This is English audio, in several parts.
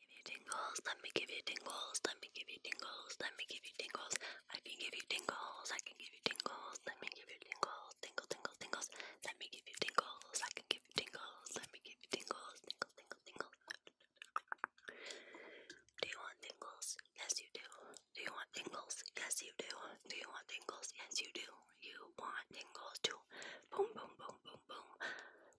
Give you tingles, let me give you tingles, let me give you tingles, let me give you tingles, I can give you tingles, I can give you tingles, let me give you tingles, tingle, tingle, tingles, let me give you tingles, I can give you tingles, let me give you tingles, tingle, tingle, tingle. Do you want tingles? Yes you do. Do you want tingles? Yes you do. Do you want tingles? Yes you do. You want tingles too. Boom boom boom boom boom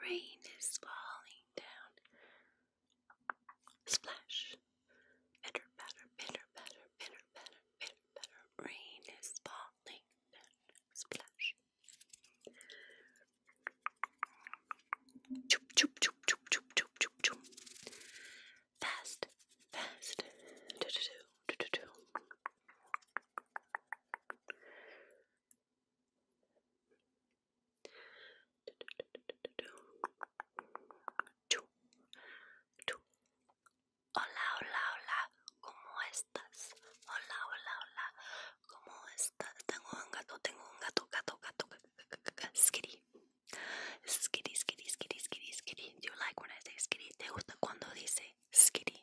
Rain is falling down. Splash. Bitter, better, bitter, better, bitter, better, better. Rain is falling down. Splash. Choop, choop, choop, choop, choop, choop, choop, choop. Fast, fast. Do, do, do, do, do, do. Hola, hola, hola, ¿cómo estás? Hola, hola, hola, ¿cómo estás? Tengo un gato, tengo un gato, gato, gato, skitty. Skitty, skitty, skitty, skitty, skitty. Do you like when I say skitty? ¿Te gusta cuando dice skitty?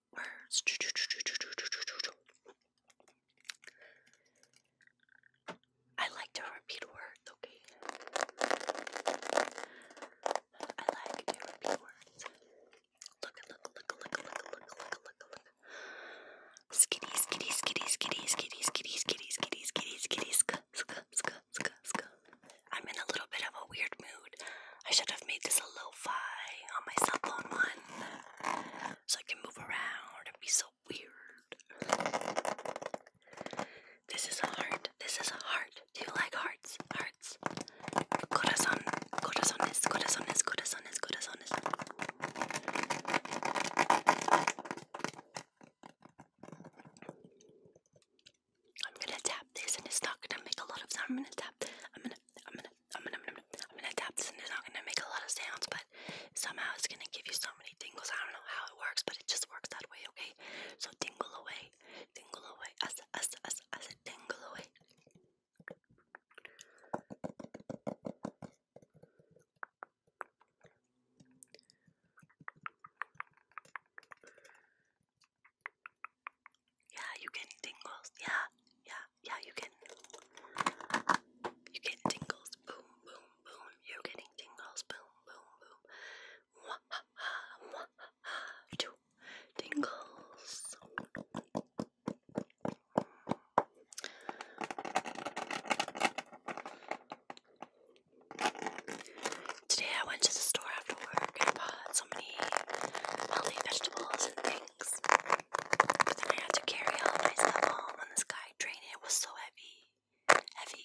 words. I like to repeat words, okay? I like to repeat words. Look, look, look, look, look, look, look, look, look. Skitty, skitty, skitty, skitty, skitty, skitty, skitty, skitty, skitty, skitty, sk, sk, sk, sk, sk. I'm in a little bit of a weird mood. I should have made this a lo-fi on my cell phone one, so I can move around and be so weird. This is a heart. This is a heart. Do you like hearts? Hearts. Corazon. Corazones. Corazones. Corazones. Corazones. I'm gonna tap this, and it's not gonna make a lot of sound. i tap. I'm gonna I'm gonna, I'm gonna, I'm gonna, tap this, and it's not gonna make a lot of sounds, but somehow it's gonna give you so many tingles. I don't know how it works, but it just works that way. Okay, so tingle away, tingle away, as as as as it tingle away. Yeah, you getting tingles. Yeah, yeah, yeah, you can. You getting tingles. Boom, boom, boom. You're getting tingles. Boom, boom, boom. Mwahaha, mwahaha. Two tingles. Today I went to the store after work and bought so many healthy vegetables and things. I had to carry all my stuff on this guy train. It was so heavy. Heavy.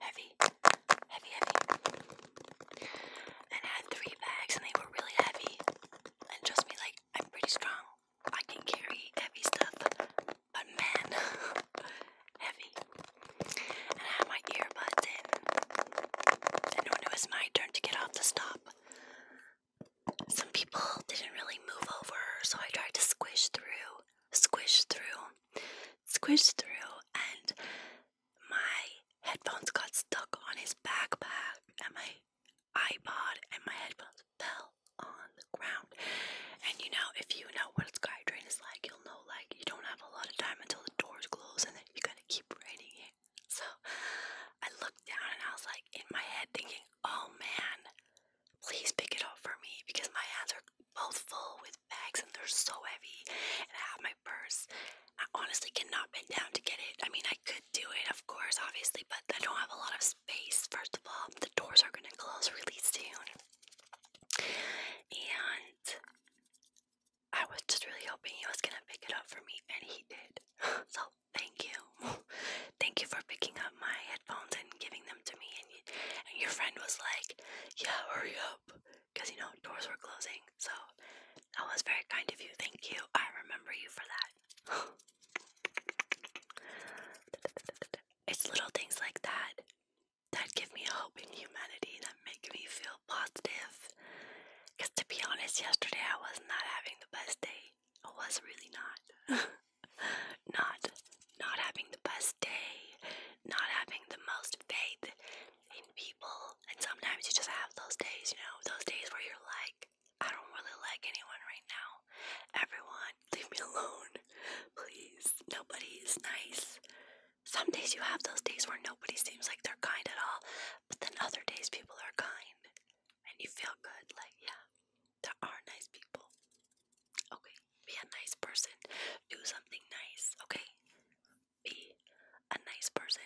Heavy. Heavy, heavy. And had three bags and they were really heavy. And trust me, like, I'm pretty strong. I can carry heavy stuff. But man, heavy. And had my earbuds in. And when it was my turn to get off the stop, some people didn't really move over, so I tried to squish through, squish through, squish through, and my headphones got stuck on his backpack, and my iPod and my headphones fell on the ground. And you know, if you know what a SkyTrain is like, you'll know like you don't have a lot of time until the doors close, and then you can gonna keep writing it. So I looked down and I was like in my head thinking, oh man, please pick it up for me because my hands are both full with bags and they're so heavy. And I have my purse. I honestly cannot bend down to get it. I mean, I could do it, of course, obviously, but I don't have a lot of space. First of all, the doors are gonna close really soon. And I was just really hoping he was gonna pick it up for me, and he did. so thank you, thank you for picking up my headphones and giving them to me. And, your friend was like, "Yeah, hurry up," because you know doors were closing. So that was very kind of you. Thank you. I remember you for that. it's little things like that that give me hope in humanity, that make me feel positive. Because to be honest, yesterday I was not having the best day. I was really not. not. Not having the best day. Not having the most faith in people. And sometimes you just have those days, you know, those days where you're like, I don't really like anyone right now. Everyone, leave me alone. Please. Nobody is nice. Some days you have those days where nobody seems like they're kind at all, but then other days people are kind and you feel good. Like, yeah, there are nice people. Okay, be a nice person. Do something nice, okay? Be a nice person.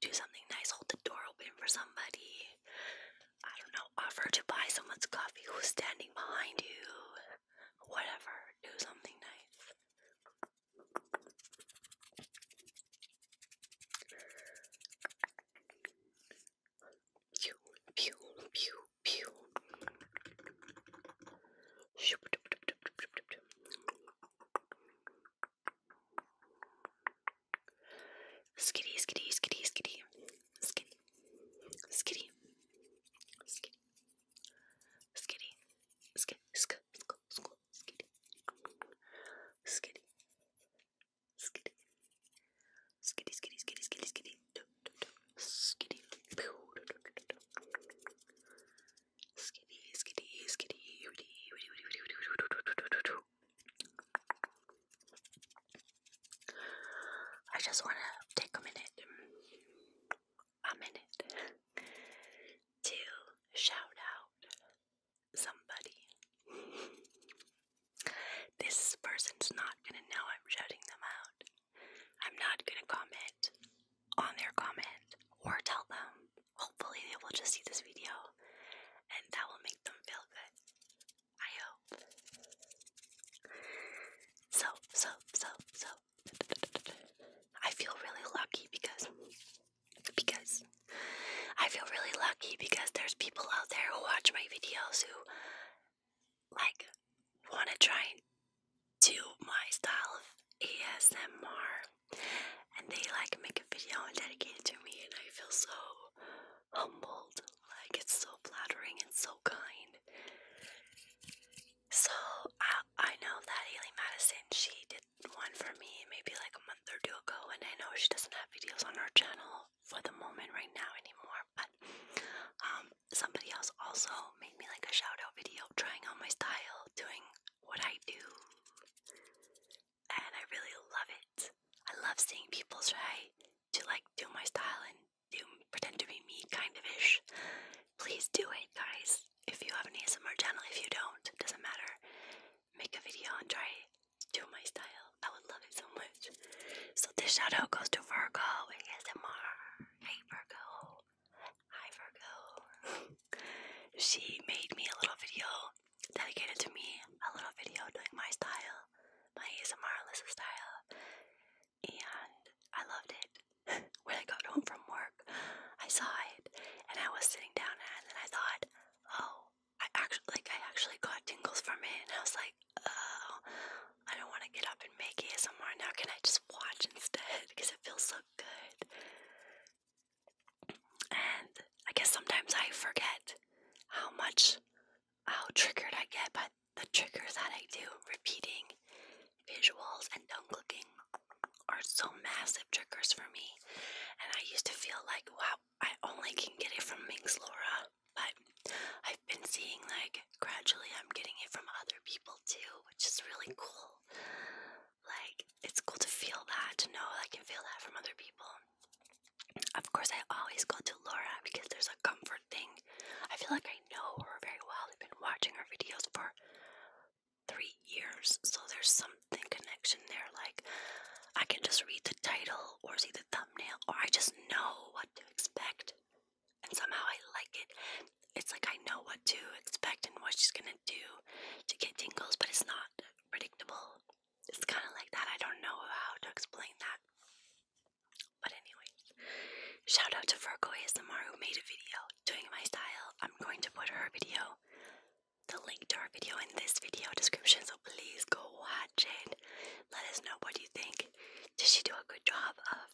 Do something nice. Hold the door open for somebody. I don't know. Offer to buy someone's coffee who's standing behind you. Whatever. Do something nice. Pew, pew, pew, pew. Skitty, skitty, skitty, skitty, skitty, skitty, skitty, Skitty, skitty, skitty, skitty, skitty, skitty, skitty, skitty, skitty, skitty, skitty, do, do, do. skitty, Pew, do, do, do, do. skitty, skitty, skitty, witty, witty, witty, witty, witty, witty, witty, witty, witty, witty. I just want to take a minute a minute to shout out somebody. this person's not gonna know I'm shouting them out. I'm not gonna comment on their comment or tell them. Hopefully, they will just see this video and that will make them feel good. I hope. So, so, so, so, I feel really lucky because because I feel really lucky because there's people out there who watch my videos who like want to try and do my style of ASMR and they like make a video and dedicate it to me and I feel so humbled like it's so flattering and so kind so I I know that Haley Madison she did one for me maybe like a month or two ago, and I know she doesn't have videos on her channel for the moment right now anymore. But um, somebody else also made me like a shout out video trying out my style, doing what I do, and I really love it. I love seeing people try to like do my style and do pretend to be me kind of ish. Please do it, guys. If you have an ASMR channel, if you don't, doesn't matter. Make a video and try do my style. I would love it so much. So this shout out goes to Virgo ASMR. Hey Virgo. Hi Virgo. she made me a little video dedicated to me. A little video doing my style. My ASMR Alyssa style and I loved it. when I got home from work, I saw it and I was sitting down and then I thought, oh, I actually like I actually got tingles from it and I was like, oh, I don't want to get up and make it ASMR now. Can I just watch instead? Because it feels so good. And I guess sometimes I forget how much how triggered I get but the triggers that I do, repeating visuals and tongue clicking, are so massive triggers for me. And I used to feel like, wow, I only can get it from Minx Laura. But I've been seeing, like, gradually I'm getting it from other people too, which is really cool. Like, it's cool to feel that, to know I can feel that from other people. Of course, I always go to Laura because there's a comfort thing. I feel like I know her very well. I've been watching her videos for three years, so there's something connection there. Like, I can just read the title or see the thumbnail, or I just know what to expect, and somehow I like it. It's like I know what to expect and what she's gonna do to get tingles, but it's not predictable. It's kind of like that. I don't know how to explain that. But anyways, shout out to Virgo who made a video doing my style. I'm going to put her video, the link to her video in this video description, so please go watch it. Let us know what you think. Did she do a good job of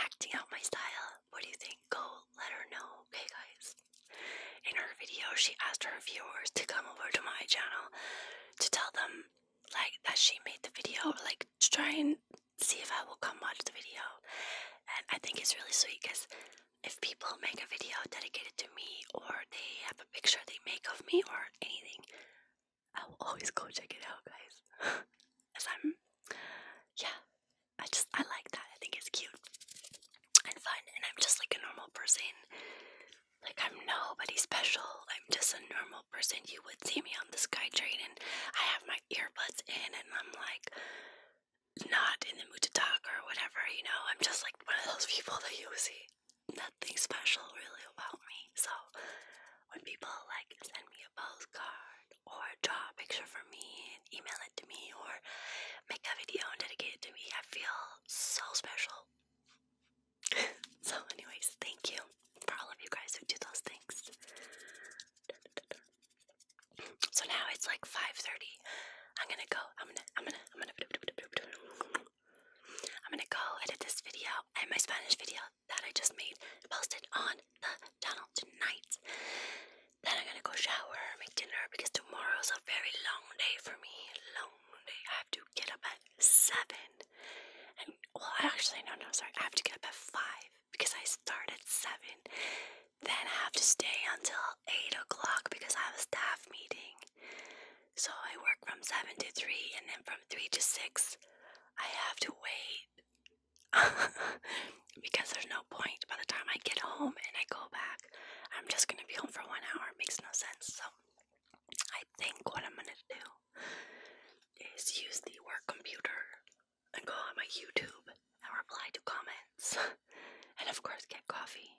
acting out my style? What do you think? Go let her know, okay guys? In her video, she asked her viewers to come over to my channel to tell them like that she made the video, like to try and see if I will come watch the video. And I think it's really sweet because if people make a video dedicated to me or they have a picture they make of me or anything, I will always go check it out, guys. As I'm, yeah, I just, I like that. I think it's cute and fun. And I'm just like a normal person. Like, I'm nobody special. I'm just a normal person you would see me on the sky train, and I have my earbuds in and I'm like not in the mood to talk or whatever, you know. I'm just like one of those people that you see nothing special really about me. So when people like send me a postcard or draw a picture for me and email it to me or make a video and dedicate it to me, I feel so special. so, anyways, thank you for all of you guys who do those things. So now it's like 5:30. I'm gonna go. I'm gonna. I'm gonna. I'm gonna. I'm gonna go edit this video and my Spanish video that I just made, posted on the channel tonight. Then I'm gonna go shower, make dinner because tomorrow's a very long day for me. Long day. I have to get up at seven. well, actually, no, no, sorry. I have to get up at five because I start at seven. Then I have to stay until eight o'clock because I have a staff meeting. So I work from seven to three, and then from three to six, I have to wait because there's no point. By the time I get home and I go back, I'm just gonna be home for one hour. It makes no sense. So I think what I'm gonna do is use the work computer and go on my YouTube and reply to comments and of course get coffee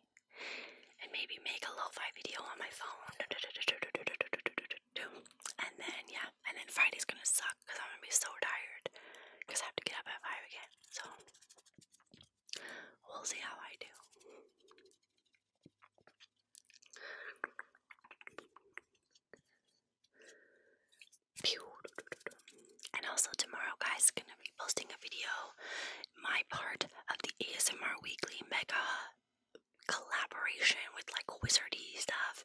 and maybe make a lo-fi video on my phone and then yeah and then Friday's gonna suck because I'm gonna be so tired because I have to get up at 5 again so we'll see how I do and also tomorrow, guys, gonna be posting a video, my part of the ASMR Weekly Mega collaboration with like wizardy stuff.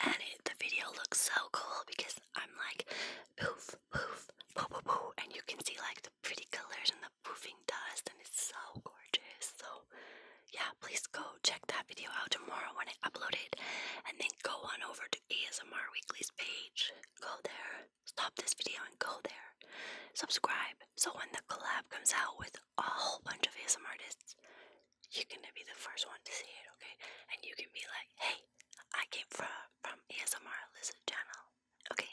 And the video looks so cool because I'm like poof, poof, poof, poof, and you can see like the pretty colors and the dust and it's so gorgeous. So yeah, please go check that video out tomorrow when I upload it and then go on over to ASMR Weekly's page. Go there, stop this video and go there. Subscribe so when the collab comes out with a whole bunch of ASMR artists, you're gonna be the first one to see it, okay? And you can be like, hey, I came from from ASMR Lizard channel. Okay,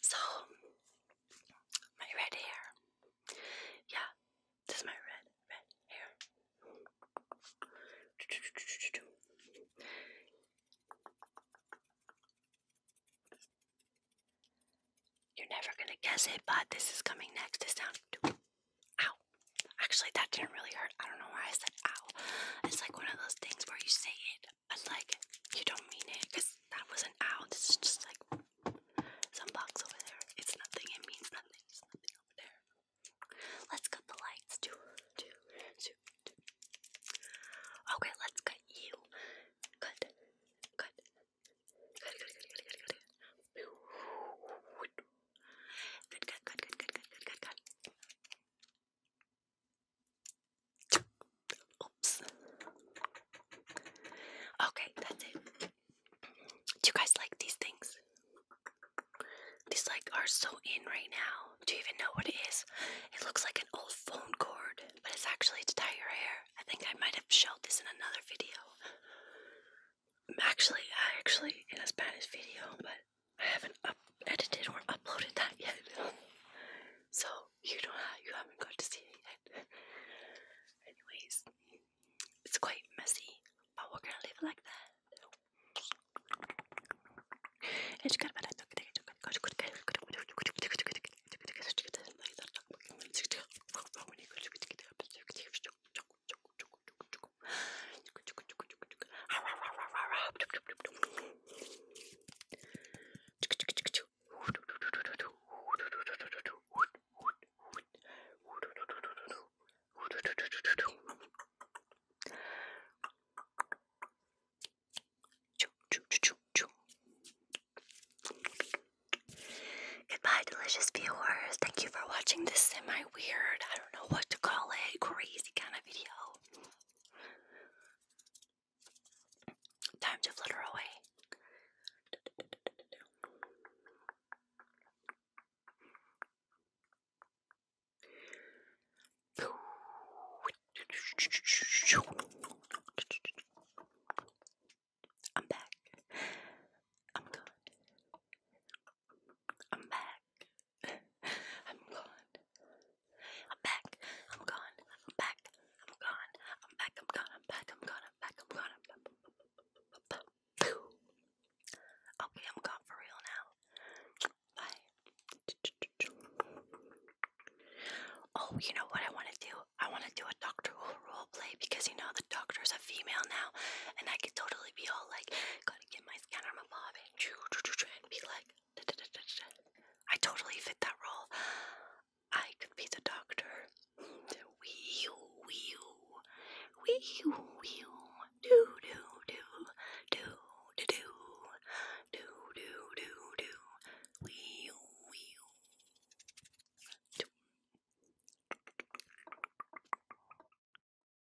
So, my red hair. Yeah, this is my red, red hair. You're never gonna guess it, but this is coming next. It's sound. Ow. Actually, that didn't really hurt. I don't know why I said ow. It's like one of those things where you say it like you don't mean it because that wasn't out. It's just like some box over there. It's nothing. It means nothing. nothing over there. Let's cut the lights. Two, two, two, two. Okay, let's cut you. Cut, cut, cut, cut, cut, cut, cut, cut. Good, good, good, good, good, good, good, good. Oops. Okay, that's it. Do you guys like these things? These like are so in right now. Do you even know what it is? It looks like an old phone cord, but it's actually to tie your hair. I think I might have showed this in another video. Actually, actually in a Spanish video, but I haven't edited or uploaded that yet. so you don't have, you haven't got to see it yet. Anyways, it's quite messy, but we're gonna leave it like that. Goodbye, delicious viewers. Thank you for watching this semi weird, I don't know what to call it, crazy kind of video. Time to flutter away. I'm back. I'm good. I'm back. I'm gone. I'm back. I'm gone. I'm back. I'm gone. I'm back. I'm gone. I'm back. I'm gone. I'm back. I'm gone. Okay, I'm gone for real now. Bye. Oh, you know what I want to do? I want to do a Doctor role play because you know the doctor's a female now, and I could totally be all like, gotta get my scanner, my bob, and be like, I totally fit that role. I could be the doctor. Wee you, wee you, wee you, wee you, do do do do do do do do do do wee you, wee you.